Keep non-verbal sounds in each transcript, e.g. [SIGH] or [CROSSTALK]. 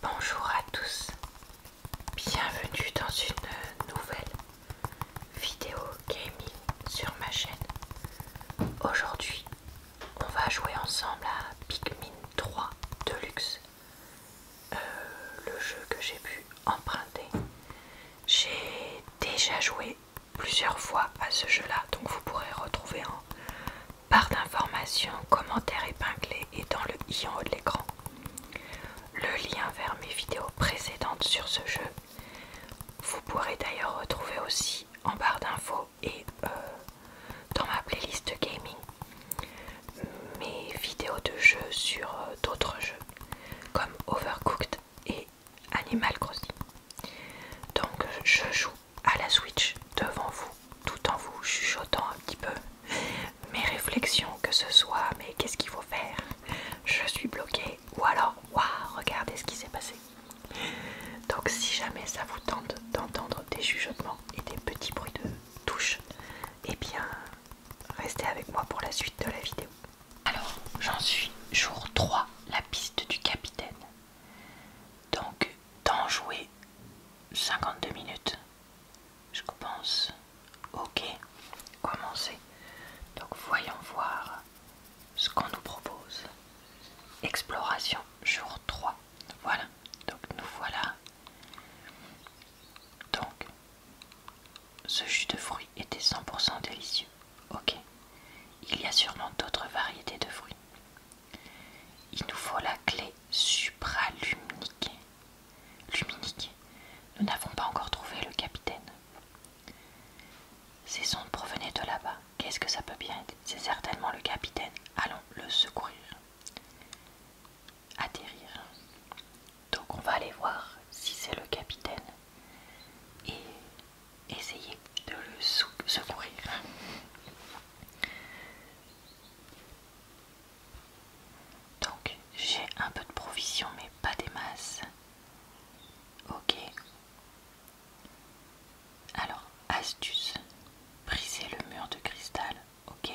Bonjour à tous, bienvenue dans une nouvelle vidéo gaming sur ma chaîne. Aujourd'hui, on va jouer ensemble à Pikmin 3 Deluxe, euh, le jeu que j'ai pu emprunter. J'ai déjà joué plusieurs fois à ce jeu-là, donc vous pourrez retrouver en barre d'informations, commentaires épinglés et dans le i en haut de l'écran. Le lien vers mes vidéos précédentes sur ce jeu. Vous pourrez d'ailleurs retrouver aussi en barre d'infos et euh, dans ma playlist gaming mes vidéos de jeux sur euh, d'autres jeux comme Overcooked et Animal Crossing. Donc je joue à la Switch devant vous tout en vous chuchotant un petit peu mes réflexions, que ce soit mais qu'est-ce qu'il faut faire, je suis bloqué ou alors waouh, regardez ce qui s'est passé. Donc si jamais ça vous tente d'entendre des chuchotements et des petits bruits de touche, et eh bien restez avec moi pour la suite de la vidéo. Alors j'en suis jour 3, la piste du capitaine. Donc d'en jouer 52 minutes je pense. Ok, commencez. Donc voyons voir ce qu'on nous propose. Exploration jour 3. Voilà, donc nous voilà. Donc, ce jus de fruits était 100% délicieux. Ok, il y a sûrement d'autres variétés de fruits. Il nous faut la clé supraluminique. Luminique. Nous n'avons pas encore trouvé le capitaine. Ces ondes provenaient de là-bas. Qu'est-ce que ça peut bien être C'est certainement le capitaine. Allons le secourir. Atterrir. Donc on va aller voir si c'est le capitaine et essayer de le secourir. Donc j'ai un peu de provisions mais pas des masses. Ok. Alors, astuce. Briser le mur de cristal. Ok.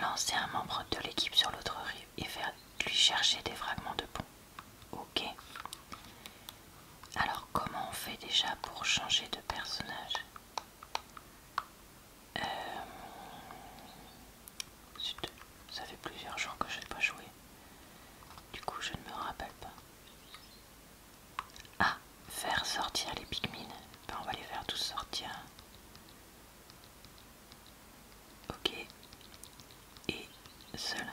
Lancer un membre de l'équipe sur l'autre rive et faire lui chercher des fragments de pont. Ok. Alors, comment on fait déjà pour changer de personnage euh, ça fait plusieurs jours que je n'ai pas joué. Du coup, je ne me rappelle pas. Ah, faire sortir les Pikmin. Ben, on va les faire tous sortir. Ok. Et seul.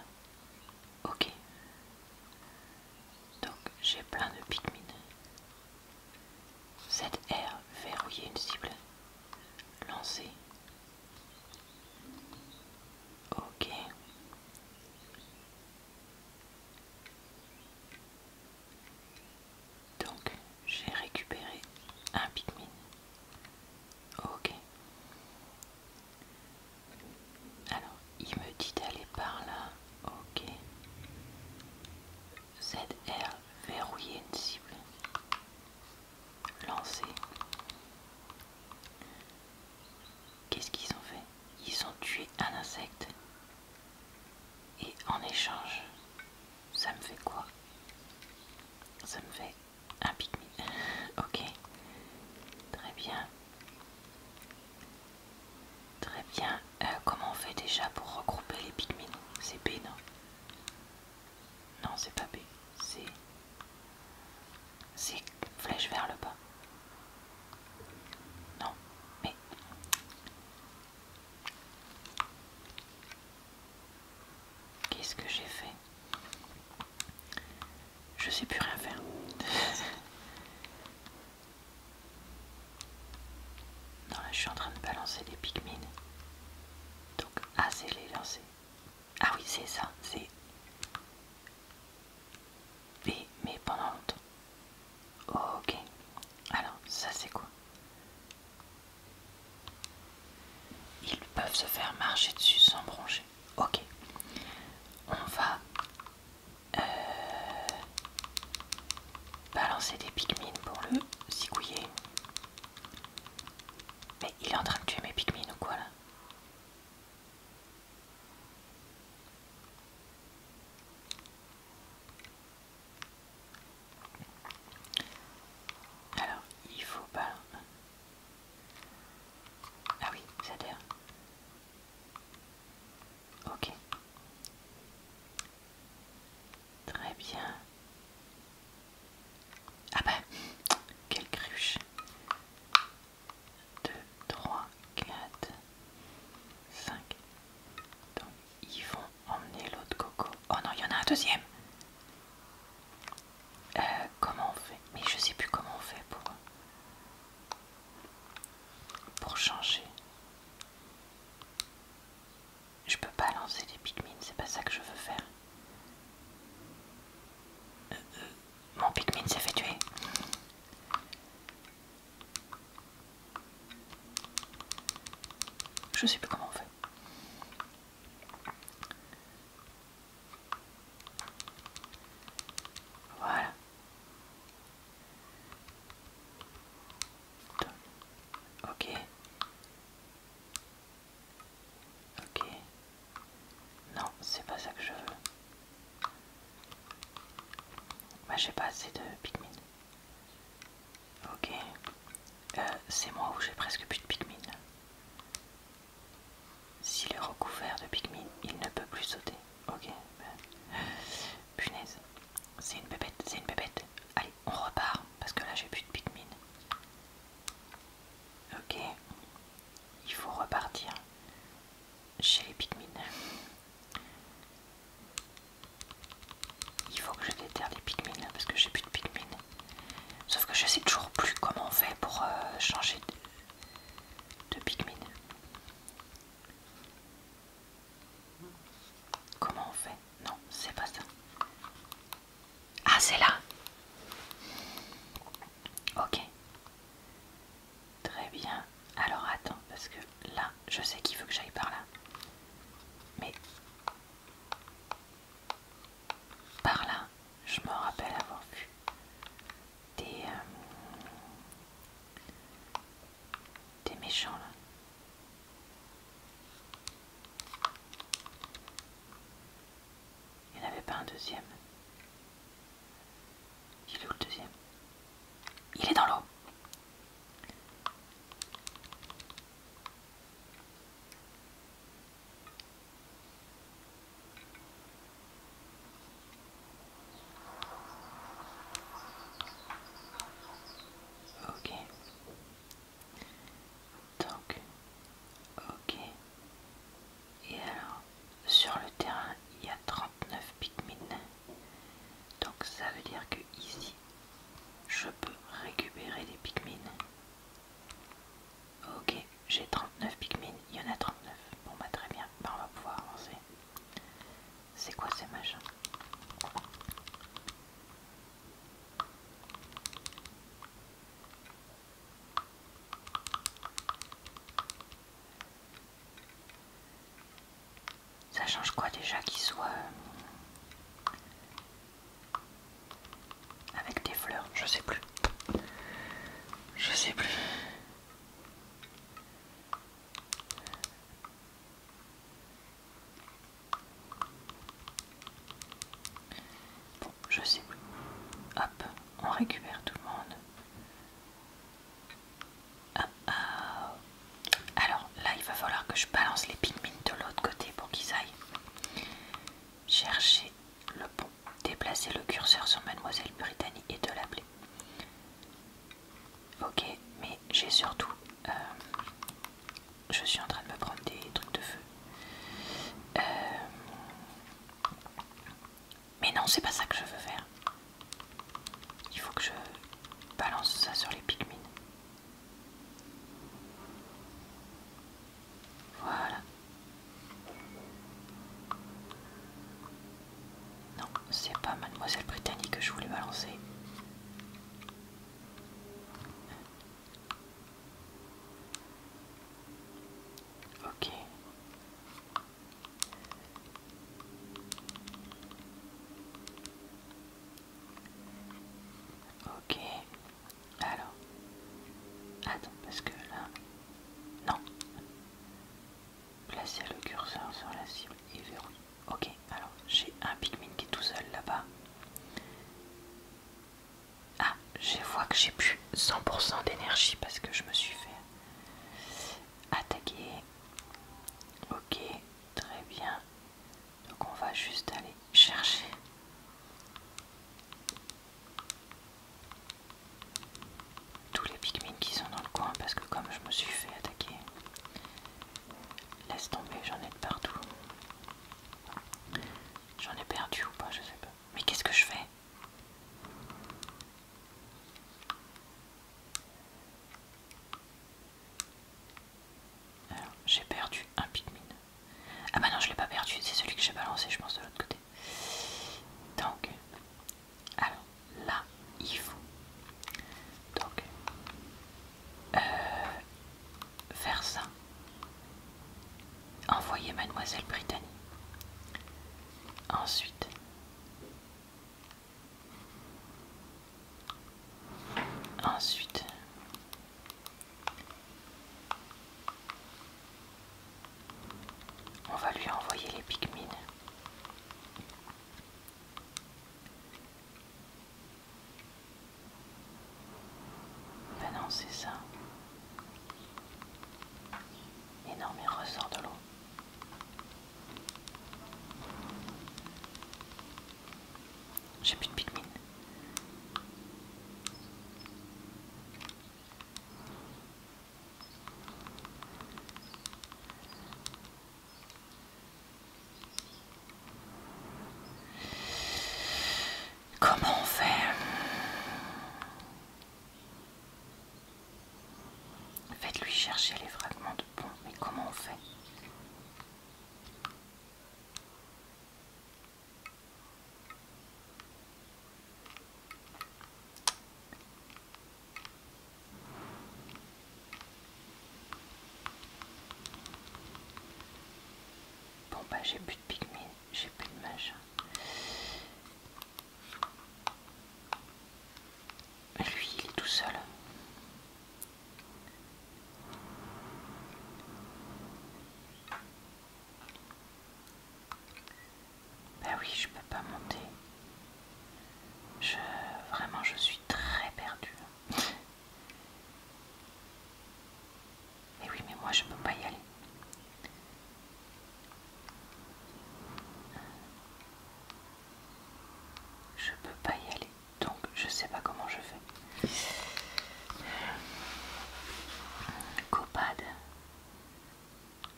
Ok. Donc, j'ai plein de Pikmin. 7R verrouiller une cible. Lancer. Ok. Donc j'ai récupéré un Pikmin. Ok. Alors il me dit d'aller par là. Ok. ZR, verrouiller une cible, lancer. Qu'est-ce qu'ils ont fait Ils ont tué un insecte. Et en échange, ça me fait quoi Ça me fait un pygmy, [LAUGHS] ok. Très bien. Très bien. Euh, comment on fait déjà pour regrouper les Pikmin C'est B, non Non, c'est pas B. C'est. C'est flèche vers le bas. Non, mais. Qu'est-ce que j'ai fait Je sais plus rien faire. [LAUGHS] Non, là je suis en train de balancer des Pikmin. Donc, A ah, c'est les lancer, Ah oui, c'est ça, c'est. B, mais pendant longtemps. ok. Alors, ça c'est quoi Ils peuvent se faire marcher dessus sans broncher. Ok. On va. Euh, balancer des Pikmin pour le zigouiller. Mais il est en train de tuer mes Pikmin ou quoi là Alors, il faut pas... Ah oui, ça derrière Ok. Très bien. Ah bah, quelle cruche 2, 3, 4, 5. Donc, ils vont emmener l'autre coco. Oh non, il y en a un deuxième euh, Comment on fait Mais je sais plus comment on fait pour, pour changer. Je peux pas lancer les Pikmin, c'est pas ça que je veux faire. Euh, euh, mon Pikmin s'est fait tuer. Je sais plus comment on fait. Voilà. Ok. Ok. Non, c'est pas ça que je veux. Moi, bah, j'ai pas assez de Pikmin. Ok. Euh, c'est moi où j'ai presque plus de Pikmin. S'il est recouvert de Pikmin, il ne peut plus sauter. Ok. Ben. Punaise. C'est une pépette, c'est une pépette. Allez on repart parce que là j'ai plus de Pikmin. Ok, il faut repartir chez les Pikmin. Il faut que je déterre les Pikmin parce que j'ai plus de Pikmin. Sauf que je sais toujours plus comment on fait pour euh, changer de, de Comment on fait Non, c'est pas ça. Ah, c'est là Ok. Très bien. Alors attends, parce que là, je sais qu'il faut que j'aille par là. Mais... Par là, je me rappelle avoir vu des... Euh, T'es méchant là. Il n'y avait pas un deuxième. Il est où le deuxième Il est dans l'eau. Ok. Donc, ok. Et alors, sur le terrain, il y a 39 Pikmin. Donc ça veut dire que ici, je peux récupérer les Pikmin. Ok, j'ai 39 Pikmin, il y en a 39. Bon bah très bien, bah, on va pouvoir avancer. C'est quoi ces machins Ça change quoi déjà qu'ils soit euh, avec des fleurs Je sais plus. Je sais plus. Bon, je sais plus. Hop, on récupère tout le monde. Ah, ah. Alors là, il va falloir que je balance les pigments de l'autre côté pour qu'ils aillent chercher le pont. Déplacer le curseur sur Mademoiselle Britannie et de l'appeler. Ok, mais j'ai surtout euh, je suis en train de me prendre des trucs de feu. Euh, mais non, c'est pas ça que je veux faire. Il faut que je balance ça sur les pygmines. Voilà. Non, c'est pas Mademoiselle Britannique que je voulais balancer. Ok. Ok. Alors. Attends, parce que là... Non. Placez le curseur sur la cible et verrouillez. Ok, alors j'ai un Pikmin qui est tout seul là-bas. Ah, je vois que j'ai plus 100% d'énergie parce que je me suis fait attaquer. Ok, très bien. Donc on va juste aller chercher. Tous les Pikmin qui sont dans le coin parce que comme je me suis fait attaquer, laisse tomber, j'en ai de partout. J'en ai perdu ou pas, je sais pas. Mais qu'est-ce que je fais Alors, j'ai perdu un Pikmin. Ah bah non, je l'ai pas perdu, c'est celui que j'ai balancé, je pense, de l'autre côté. Donc, alors là, il faut. Donc, faire euh, ça. Envoyer mademoiselle Brittany. Ensuite, ensuite, on va lui envoyer les picmines ben non, c'est ça. Et ressort de l'eau. J'ai plus de Pikmin. Comment on fait Faites-lui chercher les fragments de pont, mais comment on fait Bon bah j'ai plus de pygmées, j'ai plus de machin. Lui il est tout seul. Bah oui, je peux pas monter. Je vraiment je suis très perdue. Et oui, mais moi je peux pas y aller. Je peux pas y aller, donc je sais pas comment je fais. Copade.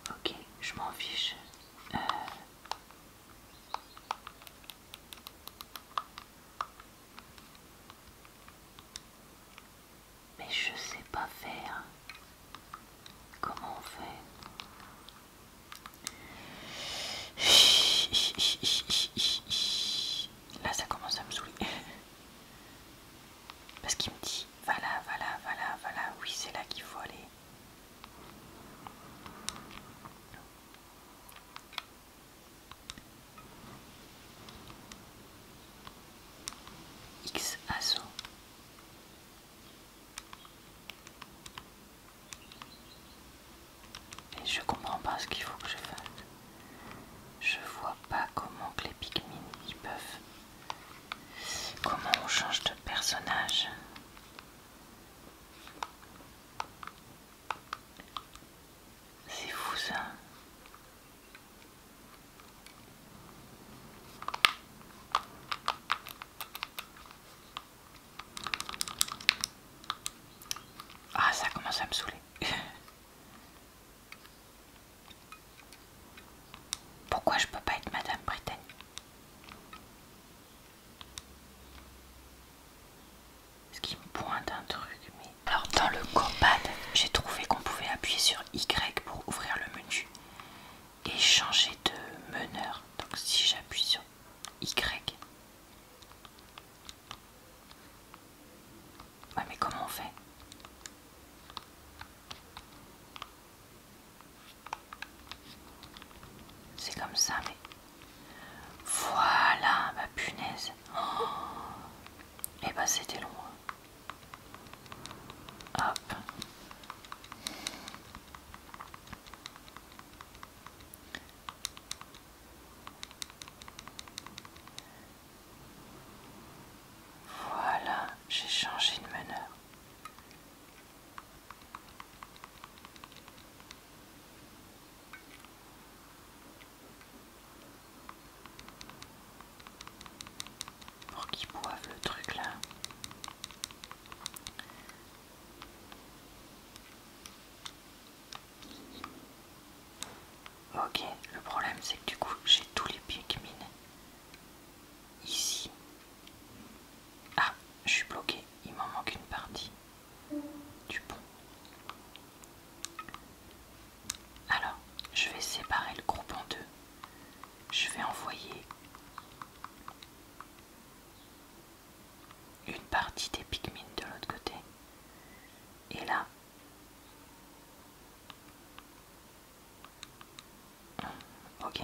Ok, je m'en fiche. Euh, mais je sais pas faire. Comment on fait Là, ça commence à me saouler. Parce qu'il me dit, voilà, voilà, voilà, voilà, oui, c'est là qu'il faut aller. X ASO Et je comprends pas ce qu'il faut que je fasse. Je vois pas comment que les Pikmin ils peuvent. Comment on change de personnage c'est fou ça. Ah ça commence à me saouler. [LAUGHS] Pourquoi je peux pas être Madame Britannique ce qui me pointe un truc. Mais... Alors dans le combat, j'ai trouvé qu'on pouvait appuyer sur Y pour ouvrir le menu et changer de meneur. Donc si j'appuie sur Y. Ouais mais comment on fait C'est comme ça mais... Voilà, ma punaise. Et [GASPS] eh ben, c'était loin. Hein. Hop. Voilà, j'ai changé de meneur. Pour qu'ils boivent le truc là. Ok, le problème c'est que du coup j'ai tous les pieds minés. Ici. Ah, je suis bloqué. Il m'en manque une partie du pont. Alors, je vais séparer le groupe en deux. Je vais envoyer une partie des Pikmin de l'autre côté. Et là, ok,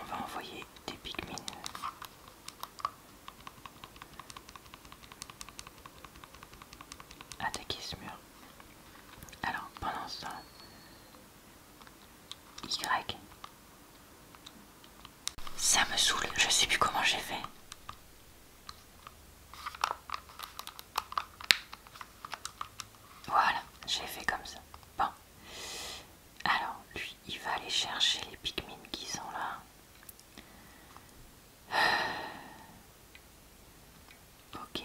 on va envoyer des Pikmin Attaquer ce mur. Alors, pendant ce Y. Ça me saoule, je sais plus comment j'ai fait. Voilà, j'ai fait comme ça. Bon. Alors, lui, il va aller chercher les Pikmin qui sont là. Ok.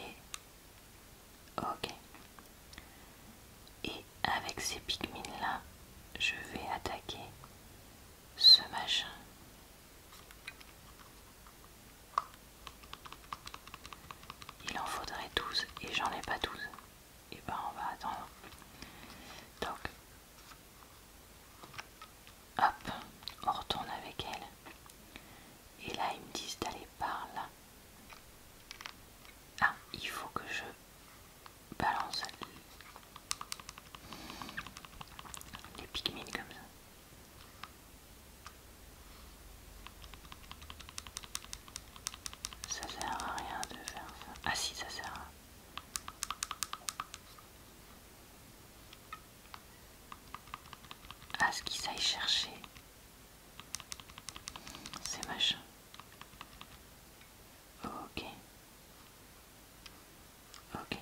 Ok. Et avec ces pigmines là, je vais attaquer ce machin. Il en faudrait 12 et j'en ai pas 12. Et eh ben on va attendre. Donc Hop, on retourne avec elle. Et là, ils me disent d'aller par là. Ah, il faut que je balance les pygmées comme ça. Ça sert à rien de faire ça. Ah si, ça sert à à ce qu'ils aillent chercher ces machins. Ok. Ok.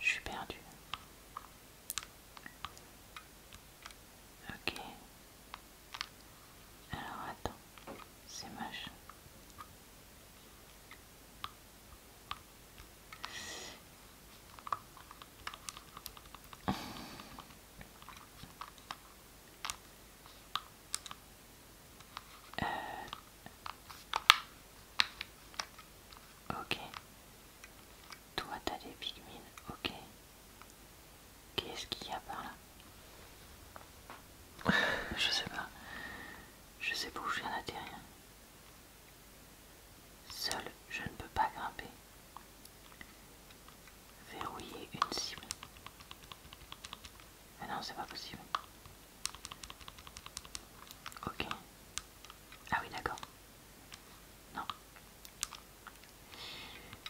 Je suis perdu. Ok. Alors attends, c'est moche. Euh, Ok. Toi, t'as des pygmines. Ok. Qu'est-ce qu'il y a par là [LAUGHS] Je sais pas. Je sais pas où je viens d'atterrir. Seul, je ne peux pas grimper. Verrouiller une cible. Mais ah non, c'est pas possible. Ok. Ah oui, d'accord. Non.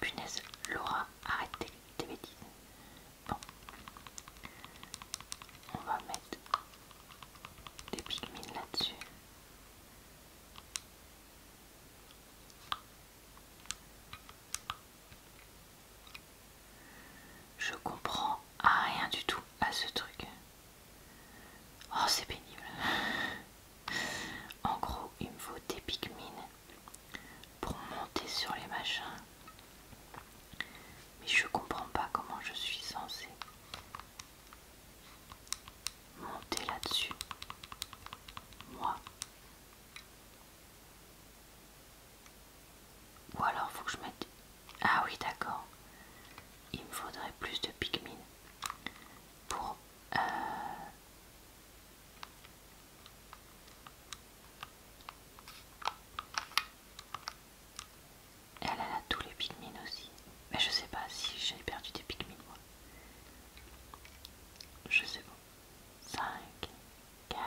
Punaise, Laura, arrête tes, bêtises. Bon. On va mettre des pigmines là-dessus. Je comprends rien du tout à ce truc. Oh, c'est pénible. En gros, il me faut des Pikmin pour monter sur les machins. Mais je comprends pas comment je suis censée monter là-dessus. Moi. Ou alors faut que je mette... Ah oui d'accord. Il me faudrait plus de Pikmin pour... Euh, elle, a tous les Pikmin aussi. Mais je sais pas si j'ai perdu des Pikmin moi. Je sais pas. 5, 4,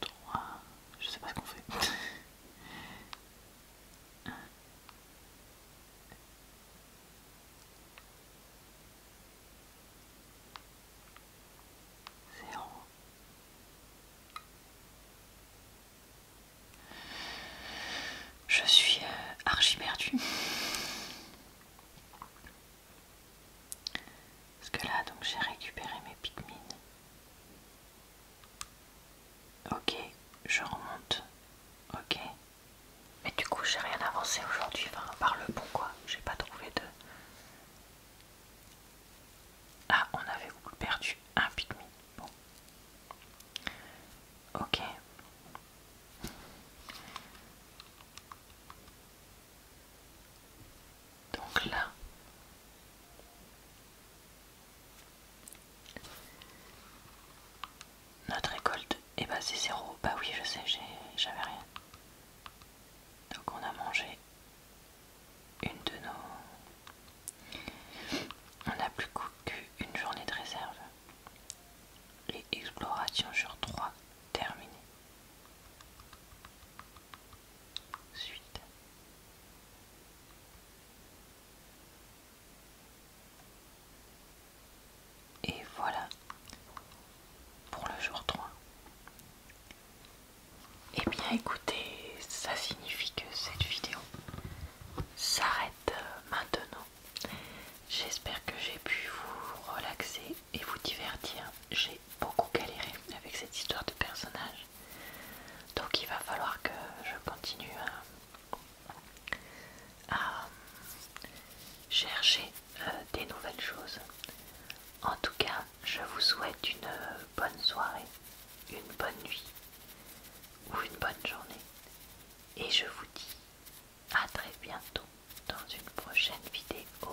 3, je sais pas ce qu'on fait. [LAUGHS] Je suis euh, Parce que là, donc j'ai récupéré mes Pikmin. Ok, je remonte. Ok. Mais du coup, j'ai rien avancé aujourd'hui, par le bon quoi. J'ai pas trouvé de. Ah, on avait perdu un pygmy, Bon. Ok donc là notre récolte est c'est zéro bah oui je sais j'avais rien donc on a mangé une de nos on a plus une journée de réserve Les explorations sur 3 terminées. Suite. Et voilà pour le jour 3. et eh bien écoutez, ça signifie que cette vidéo s'arrête euh, maintenant. J'espère que j'ai pu vous relaxer et vous divertir. J'ai beaucoup galéré avec cette histoire de personnages donc il va falloir que je continue à, chercher euh, des nouvelles choses. En tout cas, je vous souhaite une bonne soirée, une bonne nuit ou une bonne journée. Et je vous dis à très bientôt dans une prochaine vidéo.